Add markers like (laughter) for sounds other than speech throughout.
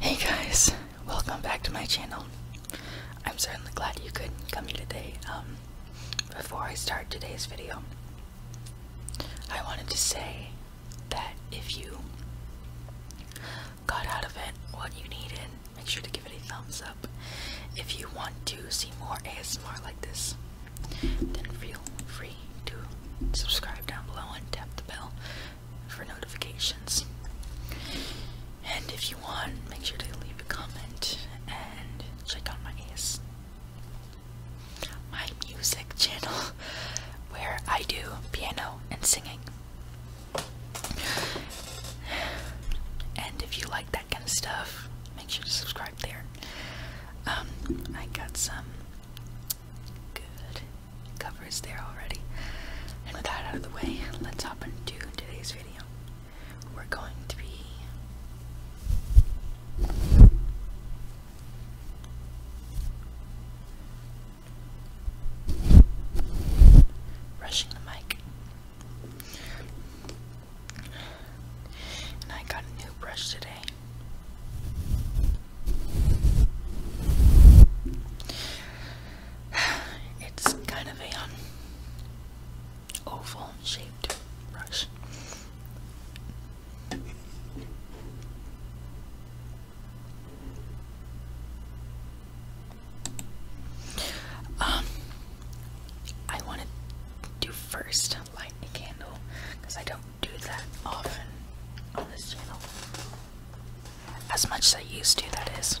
Hey guys, welcome back to my channel. I'm certainly glad you could come here today. Um, before I start today's video, I wanted to say that if you got out of it what you needed, make sure to give it a thumbs up. If you want to see more ASMR like this, then feel free free subscribe down below and tap the bell for notifications. And if you want, make sure to leave a comment and check out my AS my music channel (laughs) where I do piano and singing. And if you like that kind of stuff, make sure to subscribe there. Um, I got some Good. Cover is there already. And with that out of the way, let's hop into today's video. We're going to be brushing the mic. And I got a new brush today. (sighs) It's kind of a um, oval shaped brush. Um, I want to first light a candle because I don't do that often on this channel. As much as I used to, that is.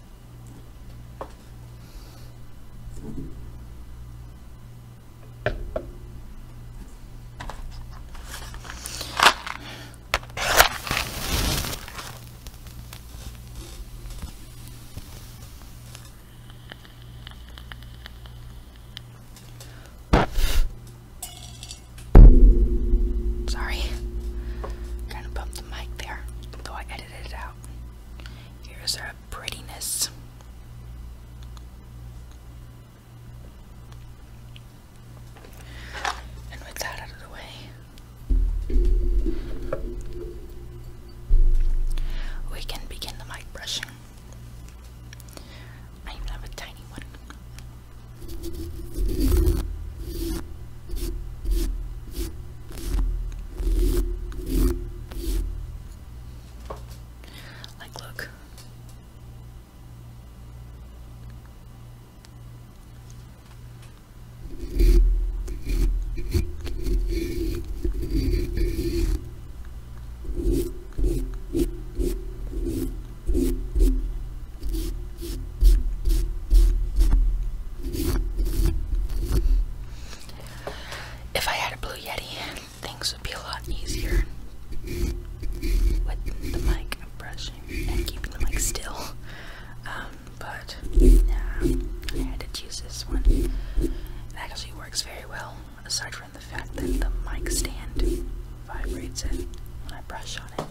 Sorry. Kind of bumped the mic there, though I edited it out. Here's our prettiness. And with that out of the way, we can begin the mic brushing. I have a tiny one. Like, look. If I had a Blue Yeti, things would be a lot easier with the mic brushing and keeping the mic still. Um, but I had to choose this one. It actually works very well, aside from the fact that the mic stand vibrates it when I brush on it.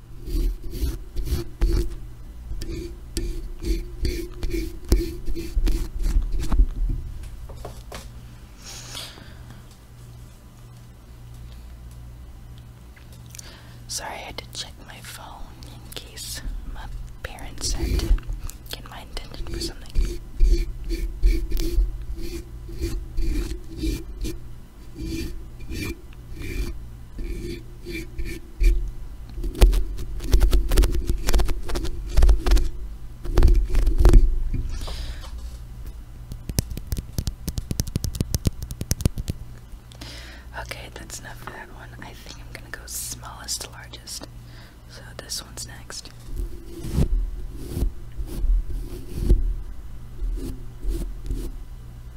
Sorry, I had to check my phone in case my parents had get my attention for something. Okay, that's enough for that one. I think I'm gonna go smallest to largest. So this one's next.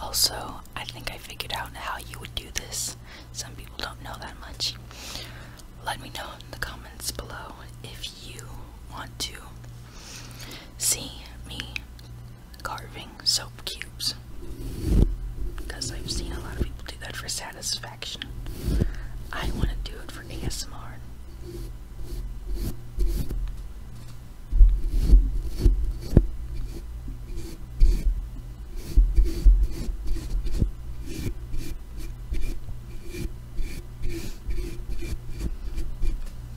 Also, I think I figured out how you would do this. Some people don't know that much. Let me know in the comments below if you want to see me carving soap cubes. Because I've seen a lot of people do that for satisfaction. I want to do it for ASMR.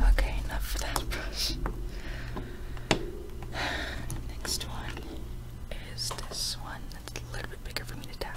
Okay, enough for that brush. (sighs) Next one is this one. It's a little bit bigger for me to tap.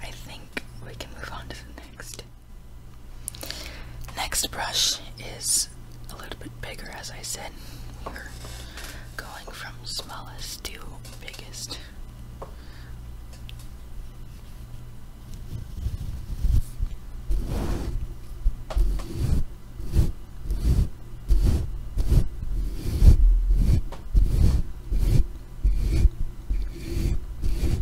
I think we can move on to the next Next brush is a little bit bigger, as I said. We're going from smallest to biggest.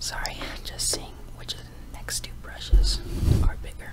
Sorry, (laughs) just seeing which of the next two brushes are bigger.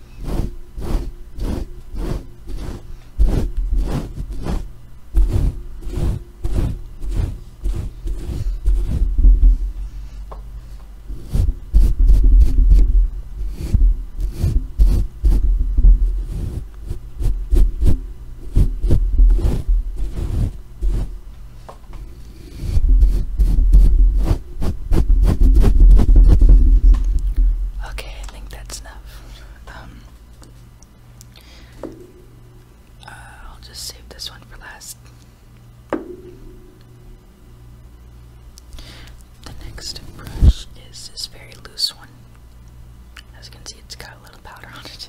Okay, I think that's enough. Um, uh, I'll just save this one for last. The next brush is this very loose one. As you can see, it's got a little powder on it.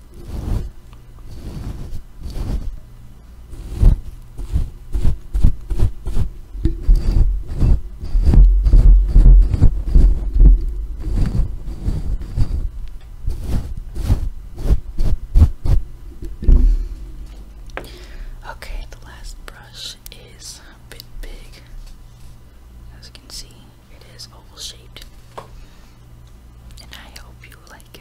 Okay, the last brush is a bit big, as you can see. It is oval shaped. And I hope you like it.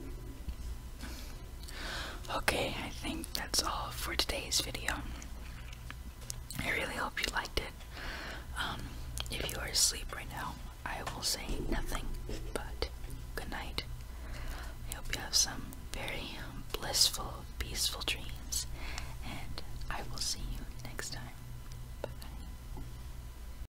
Okay, I think that's all for today's video. I really hope you liked it. Um, if you are asleep right now, I will say nothing but good night. I hope you have some very blissful, peaceful dreams, and I will see you next time. Bye.